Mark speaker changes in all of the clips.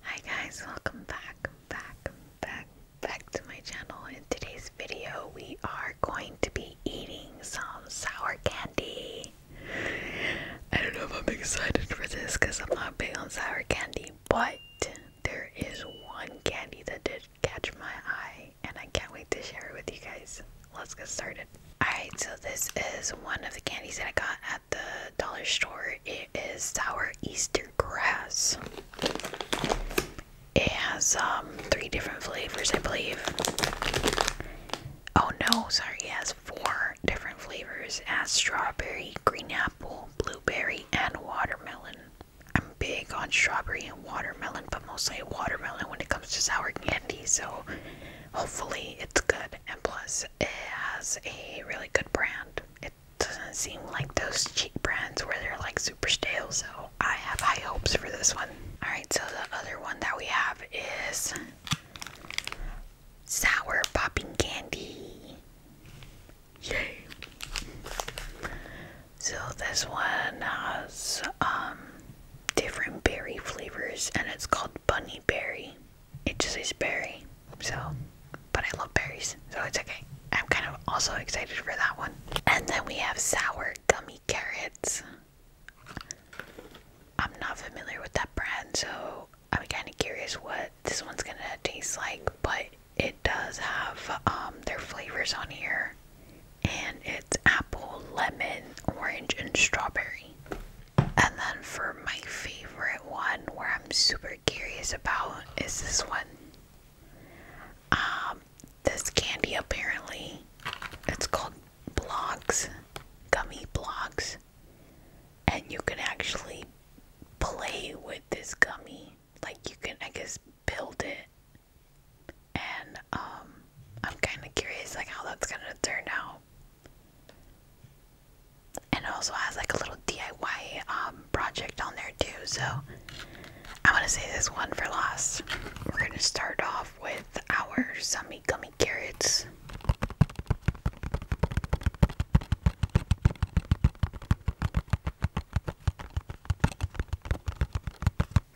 Speaker 1: Hi guys, welcome back, back, back, back to my channel. In today's video, we are going to be eating some sour candy. I don't know if I'm excited for this because I'm not big on sour candy, but there is one candy that did catch my eye and I can't wait to share it with you guys. Let's get started. Alright, so this is one of the candies that I got at the dollar store. It is sour Easter grass. It has um, three different flavors, I believe. Oh no, sorry, it has four different flavors. It strawberry, green apple, blueberry, and watermelon. I'm big on strawberry and watermelon, but mostly watermelon when it comes to sour candy, so hopefully it's good. And plus, it has a really good brand doesn't seem like those cheap brands where they're like super stale, so I have high hopes for this one. Alright, so the other one that we have is Sour Popping Candy. Yay! So this one has um different berry flavors and it's called Bunny Berry it just is berry. So, but I love berries, so it's okay. I'm kind of also excited for that one. And then we have sour gummy carrots. I'm not familiar with that brand, so I'm kind of curious what this one's gonna taste like, but it does have um, their flavors on here, and it's apple, lemon, orange, and strawberry. And then for my favorite one, where I'm super curious about is this one. Um, this candy apparently, it's called blocks, gummy blocks, and you can actually play with this gummy. Like you can, I guess, build it. And um, I'm kind of curious, like how that's gonna turn out and it also has like a little DIY um, project on there too. So I'm gonna say this one for last. We're gonna start off with our Summy Gummy Carrots.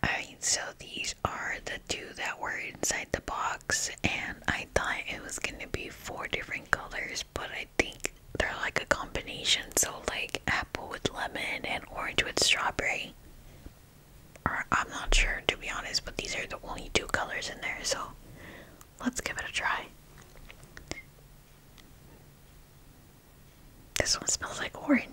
Speaker 1: Alright, so these are the two that were inside the box, and I thought it was gonna be four different colors, but I think they're like a combination. So, like apple with lemon and orange with strawberry. Or I'm not sure to be honest, but these are the only two colors in there. So, let's give it a try. This one smells like orange.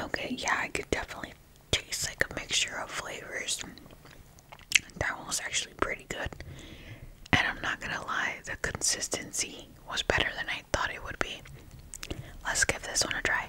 Speaker 1: Okay, yeah, I could definitely taste like a mixture of flavors. That one was actually pretty good. And I'm not gonna lie, the consistency was better than I thought it would be. Let's give this one a try.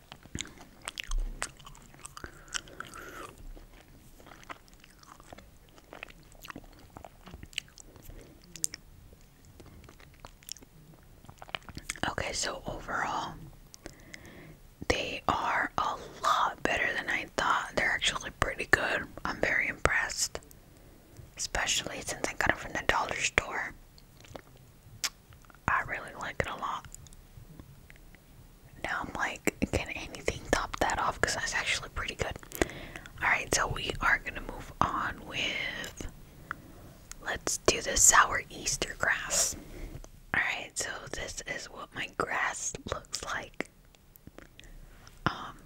Speaker 1: Okay, so overall, they are a lot better than I thought. They're actually pretty good. I'm very impressed. Especially since I got them from the dollar store. I really like it a lot. Now I'm like, can anything top that off? Because that's actually pretty good. Alright, so we are going to move on with. Let's do the sour Easter grass. Alright, so this is what my grass looks like. Um,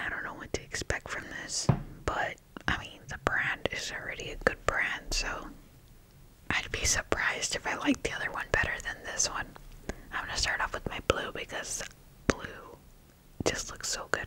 Speaker 1: I don't know what to expect from this, but I mean, the brand is already a good brand, so I'd be surprised if I liked the other one better than this one. I'm gonna start off with my blue because blue just looks so good.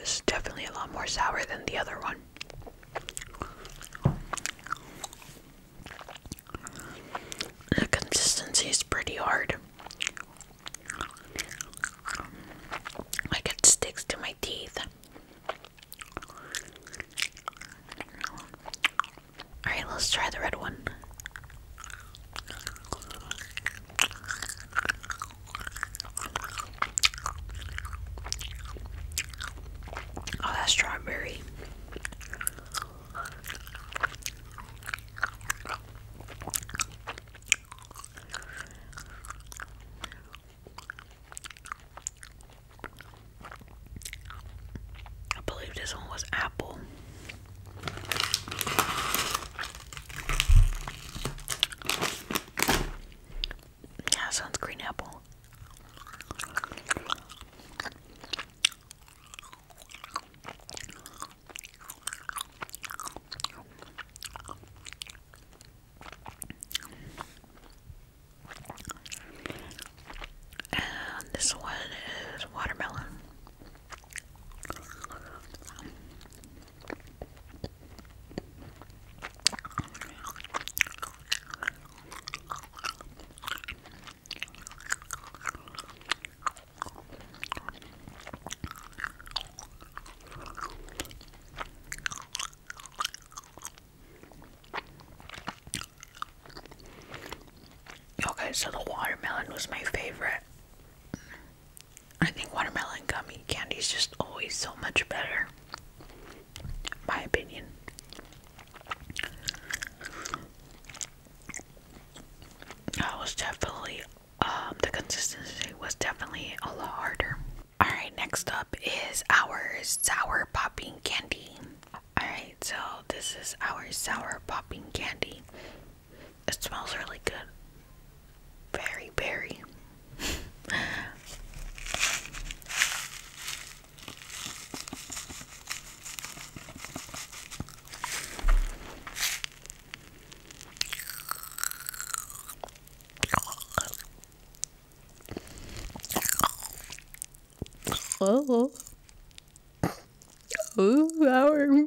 Speaker 1: It's definitely a lot more sour than the other one. The consistency is pretty hard. Like it sticks to my teeth. Alright, let's try the red one. Oh, that's strawberry. I believe this one was apple. Yeah, sounds green apple. And this one is watermelon. Okay, so the watermelon was my favorite. I think watermelon gummy candy is just always so much better. My opinion. That was definitely um the consistency was definitely a lot harder. Alright, next up is our sour popping candy. Alright, so this is our sour popping candy. It smells really good. Very, very. Oh, oh, our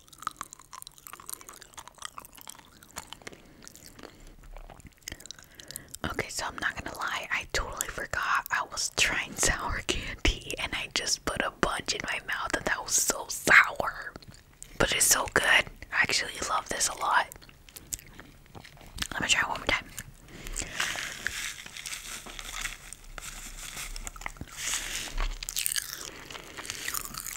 Speaker 1: Okay, so I'm not gonna lie, I totally forgot I was trying sour candy and I just put a bunch in my mouth and that was so sour. But it's so good. I actually love this a lot. Let me try it one more time.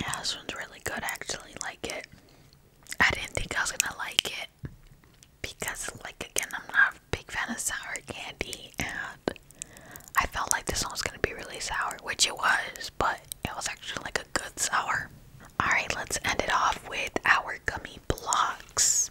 Speaker 1: Yeah, this one's really good. I actually like it. I didn't think I was gonna like it because, like, again, I'm not a big fan of sour candy, and I felt like this one was gonna be really sour, which it was, but it was actually like a good sour. Alright, let's end it off with our gummy blocks.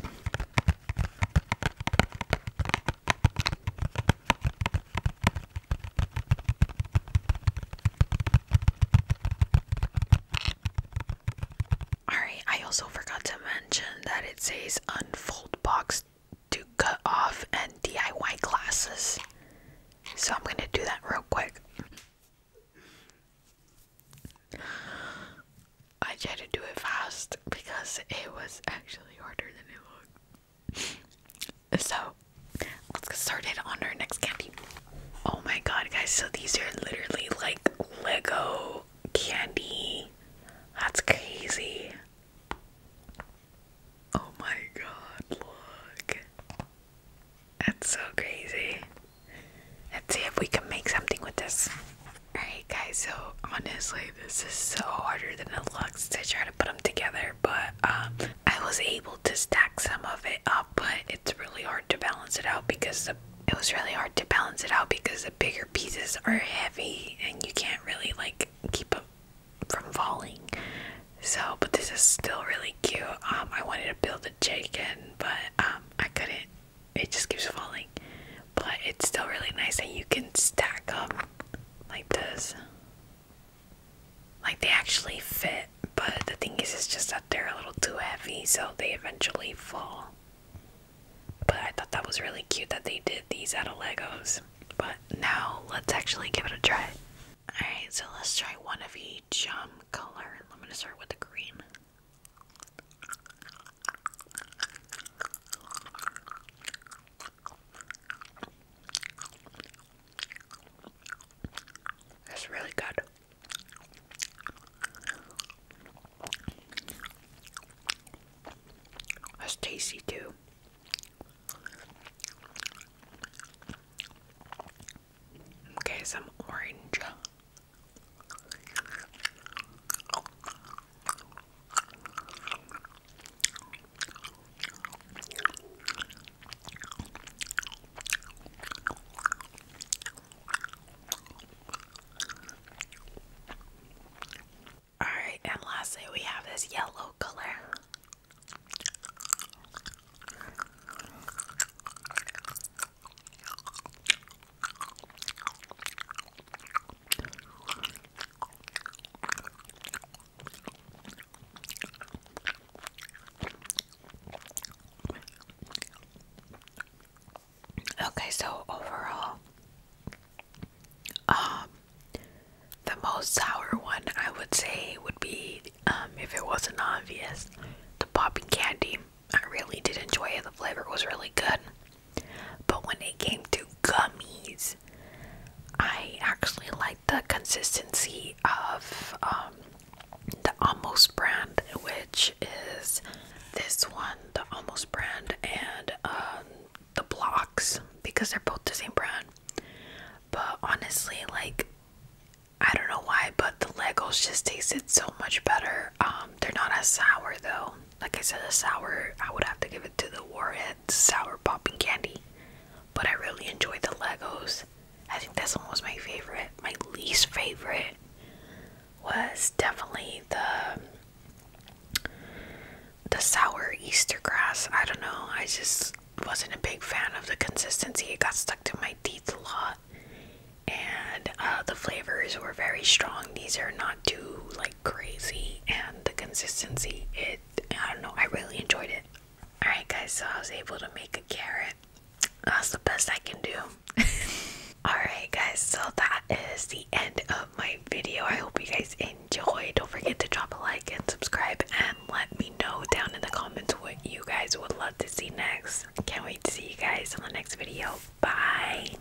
Speaker 1: Alright, I also forgot to mention that it says unfold box to cut off and DIY classes. So I'm going to do that real quick. I tried to do it fast because it was actually harder than it looked. so let's get started on our next candy. Oh my god, guys! So these are literally like Lego candy. That's crazy. Oh my god, look. That's so crazy. Let's see if we can make something with this. Alright, guys, so honestly, this is so harder than it looks to try to put them together, but um, I was able to stack some of it up, but it's really hard to balance it out because the it was really hard to balance it out because the bigger pieces are heavy and you can't really like keep them from falling. So, but this is still really cute. Um, I wanted to build a chicken, but um, I couldn't it just keeps falling. But it's still really nice that you can stack up like this. Like they actually fit, but the thing is, it's just that they're a little too heavy, so they eventually fall. But I thought that was really cute that they did these out of Legos. But now let's actually give it a try. Alright, so let's try one of each um, color. I'm gonna start with the green. It's really good. It's tasty too. Okay, some orange. All right, and lastly, we have this yellow color. Okay, so overall, um, the most sour one I would say would be, um, if it wasn't obvious, the popping candy. I really did enjoy it. The flavor was really good. But when it came to gummies, I actually liked the consistency of um, the Almost brand, which is this one, the Almost brand, and um, the Blocks, because they're both the same brand. But honestly, like, I don't know why, but the Legos just tasted so much better. Um, they're not as sour though like I said, a sour, I would have to give it to the Warhead Sour Popping Candy. But I really enjoyed the Legos. I think this one was my favorite. My least favorite was definitely the the sour Easter grass. I don't know. I just wasn't a big fan of the consistency. It got stuck to my teeth a lot. And uh, the flavors were very strong. These are not too like crazy and the consistency it I don't know I really enjoyed it. Alright guys so I was able to make a carrot. That's the best I can do. Alright guys so that is the end of my video. I hope you guys enjoy. Don't forget to drop a like and subscribe and let me know down in the comments what you guys would love to see next. Can't wait to see you guys in the next video. Bye.